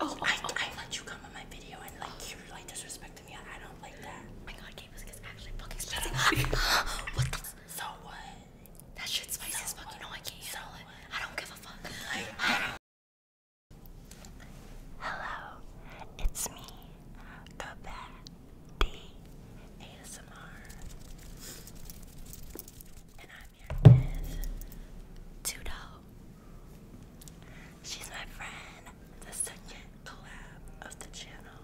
Oh, oh, I, oh, I let you come on my video and like you were like disrespecting me. I don't like that. Oh my god, Gabe is actually fucking spicy. what the? So what? That shit's spicy so as fuck. What? You know I can't so handle it. What? I don't give a fuck. Like, I Hello, it's me, Kabaddi ASMR, and I'm here is Tudo. She's my friend. The second collab of the channel.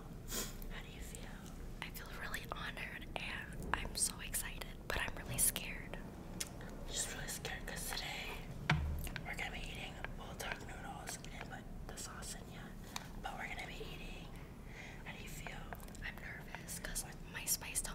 How do you feel? I feel really honored and I'm so excited, but I'm really scared. I'm Just really scared because today we're gonna be eating bulldog noodles. We put the sauce in yet, but we're gonna be eating. How do you feel? I'm nervous because my spice do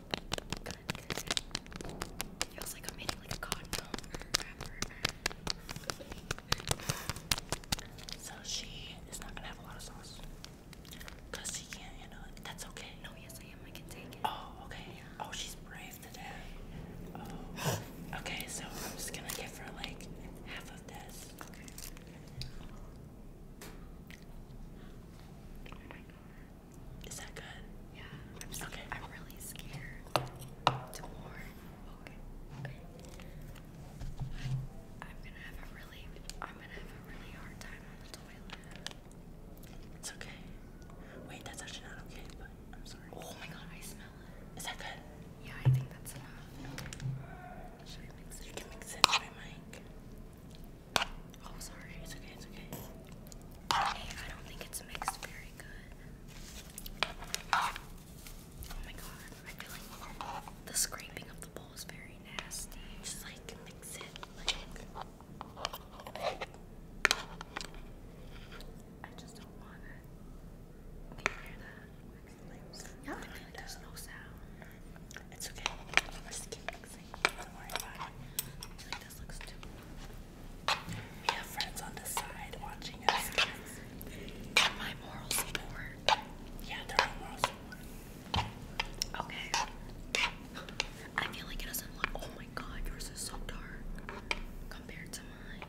Good, So she is not gonna have a lot of sauce. Cause she can't That's okay. No, yes I am. I can take it. Oh, okay. Yeah. Oh, she's brave today. Oh. okay, so I'm just gonna give her like half of this. Oh my god. Is that good? Yeah. I'm scared. Okay. I'm really scared to more. Okay. I'm gonna have a really I'm gonna have a really hard time on the toilet. It's okay. Wait, that's actually not okay, but I'm sorry. Oh my god, I smell it. Is that good? Yeah, I think that's enough. Should I mix it? You can mix it. Try Mike. Oh, sorry. It's okay. It's okay. Okay, I don't think it's mixed very good. Oh my god. I feel like the scraping of the bowl is very nasty. Just like mix it. I just don't want it. Can you hear that? Yeah, there's no sound. It's okay. We're just keep Don't worry about it. this looks too. We have friends on the side watching us. They're my moral support. Yeah, are my Okay. I feel like it doesn't look. Oh my god, yours is so dark compared to mine.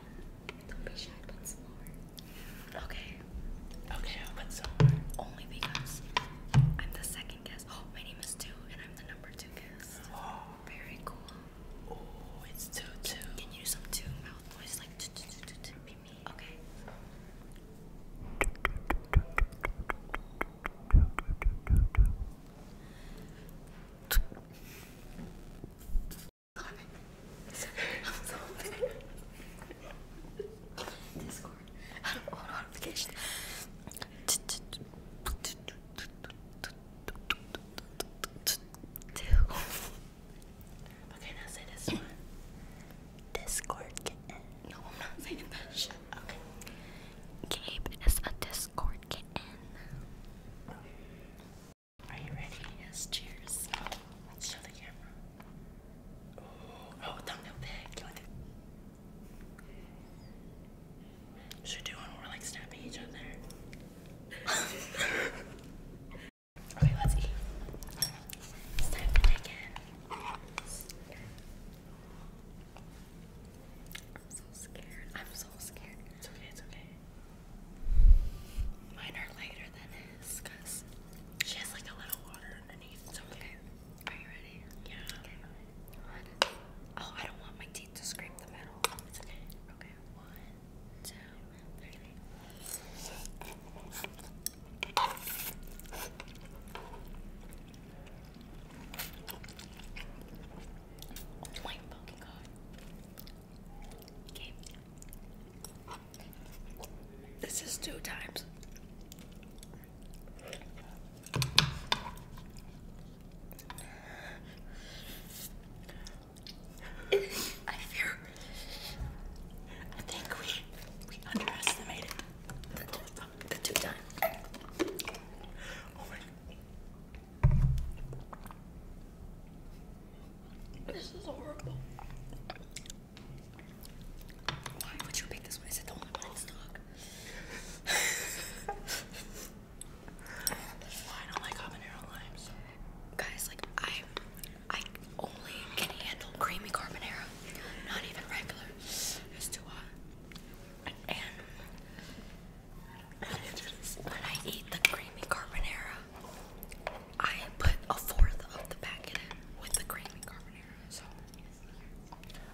Don't be shy, but slower. Okay. Okay, I'll put Only because I'm the second guest. Oh, my name is Two, Oh. Very cool. Oh, it's two two. Can you do some two mouth voice like two two two two two? Me. Okay. I'm so bad. I don't want notifications. Okay, now say this one. Discord No, I'm not saying that shit. Okay. Gabe is a Discord Are you ready? Yes, cheers. let's show the camera. Ooh, oh, thumbnail pick. Should do one more like snapping each other. I'm so scared. I'm so scared. It's okay, it's okay. Mine are lighter than his because she has like a little water are you ready? Yeah. Oh, I don't want my teeth to scrape the metal. Okay. One, two, three. Oh my fucking god. Okay. This is two times. I fear. I think we we underestimated the two, the two times. This is horrible. Why would you pick this one? Is it the only one in stock? well, don't like habanero limes. Guys, like I, I only can handle creamy carbonara. Not even regular. It's too And when I eat the creamy carbonara, I put a fourth of the packet with the creamy carbonara.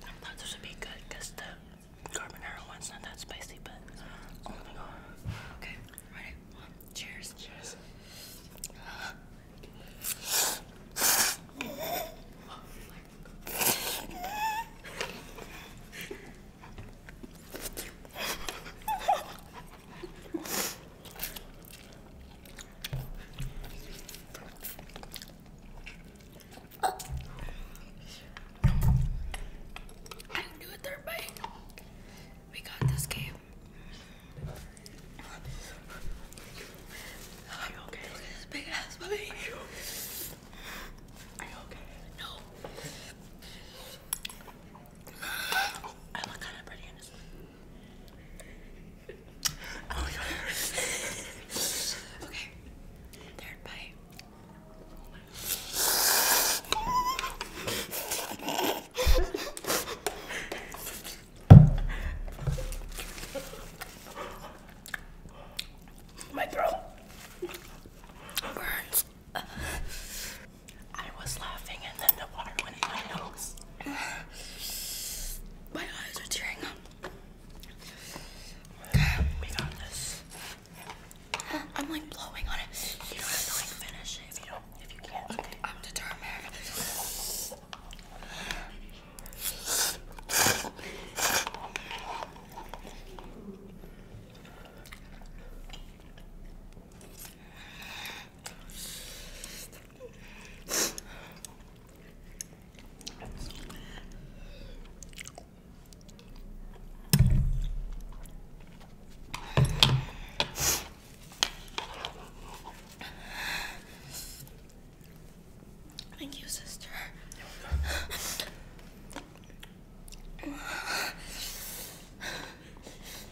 I thought this would be good because the carbonara one's not that spicy, but oh my god. Okay, ready? Cheers. Cheers. I didn't do a third bite. We got this game. Are you okay? Look at this big ass puppy. Are you, okay? No. I look kind of pretty in this Oh my okay. Third bite. My throat burns. I was laughing and then the water went in my nose. My eyes are tearing up. We got this. I'm like blowing on it. You don't have to like finish it if you don't if you can't. I'm determined. Thank you, sister.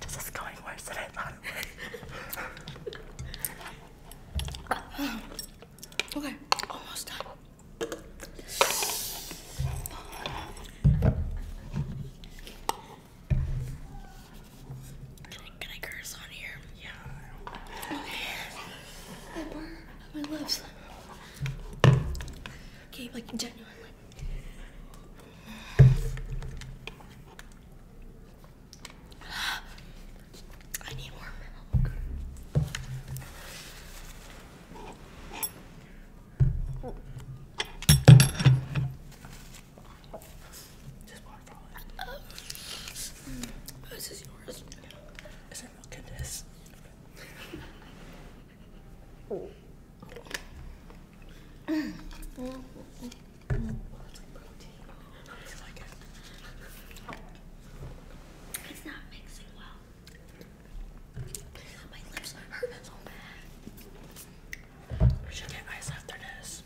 This is going worse than I thought okay, almost done. Can I curse on here? Yeah. Okay. My lips. Okay, like genuinely. I need more milk. Oh. this is yours. Is there milk it's not mixing well. My lips hurt so bad. We should get ice after this.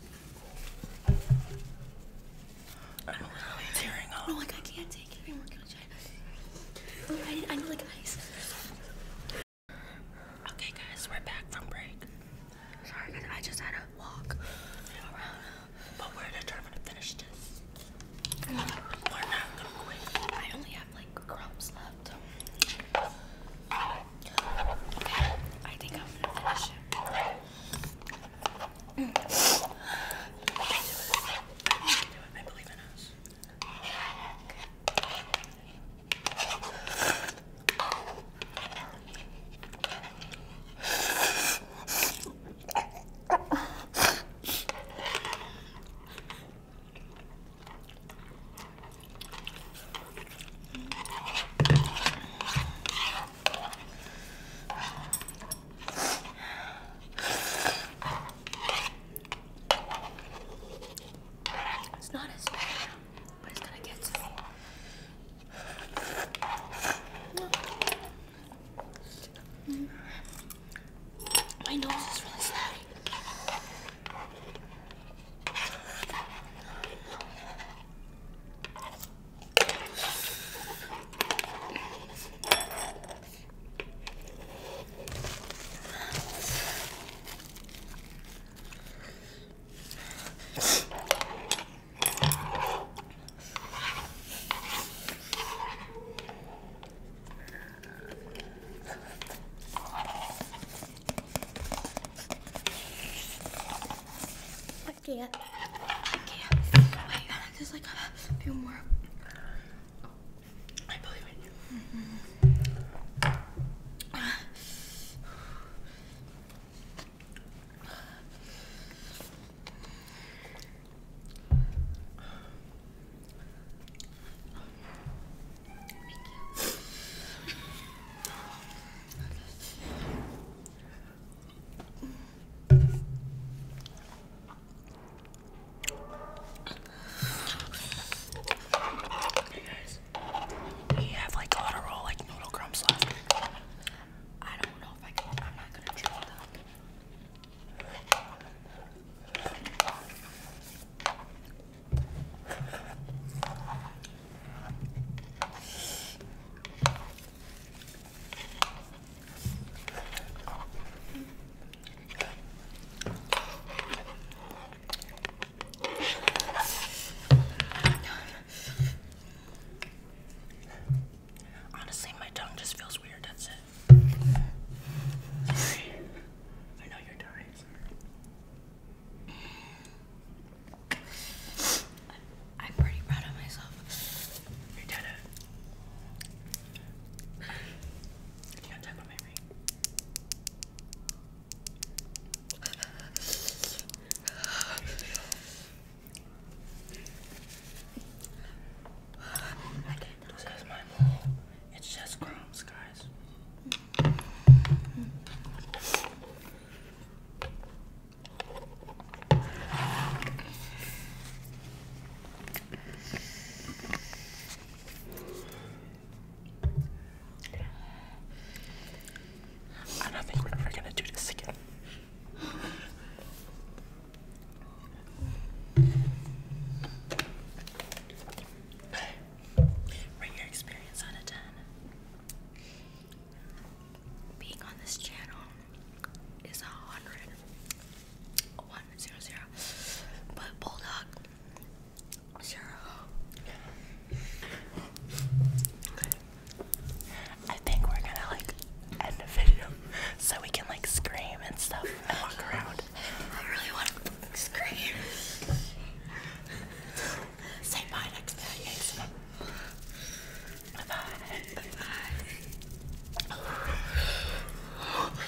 I'm literally tearing up. Oh, like I can't take it anymore. I I need, I need like ice. Okay, guys, we're back from break. Sorry, guys, I just had to walk but we're determined to finish this. We're not gonna quit. I only have like crumbs left. I think I'm finish it. We do it. I believe in us. It's not as bad but it's gonna get to me. Mm. My nose is really slimy can't. I can't. Wait, there's like a few more. I believe in you. Hey guys, we have like a lot of raw like noodle crumbs left. I don't know if I can. I'm not gonna chew them. Honestly, my tongue just feels weird. That's it. I know you're dying. I'm pretty proud of myself. You did it. You can't tackle my ring. I can't do this because my mole, it's just crumbs, guys. I don't think we're ever gonna do this again. Rate your experience out of 10. Being on this channel is a hundred. One But Bulldog I think we're gonna like end the video so we can like scream and stuff and walk around. I really want to scream. Say bye next time. Bye Bye bye.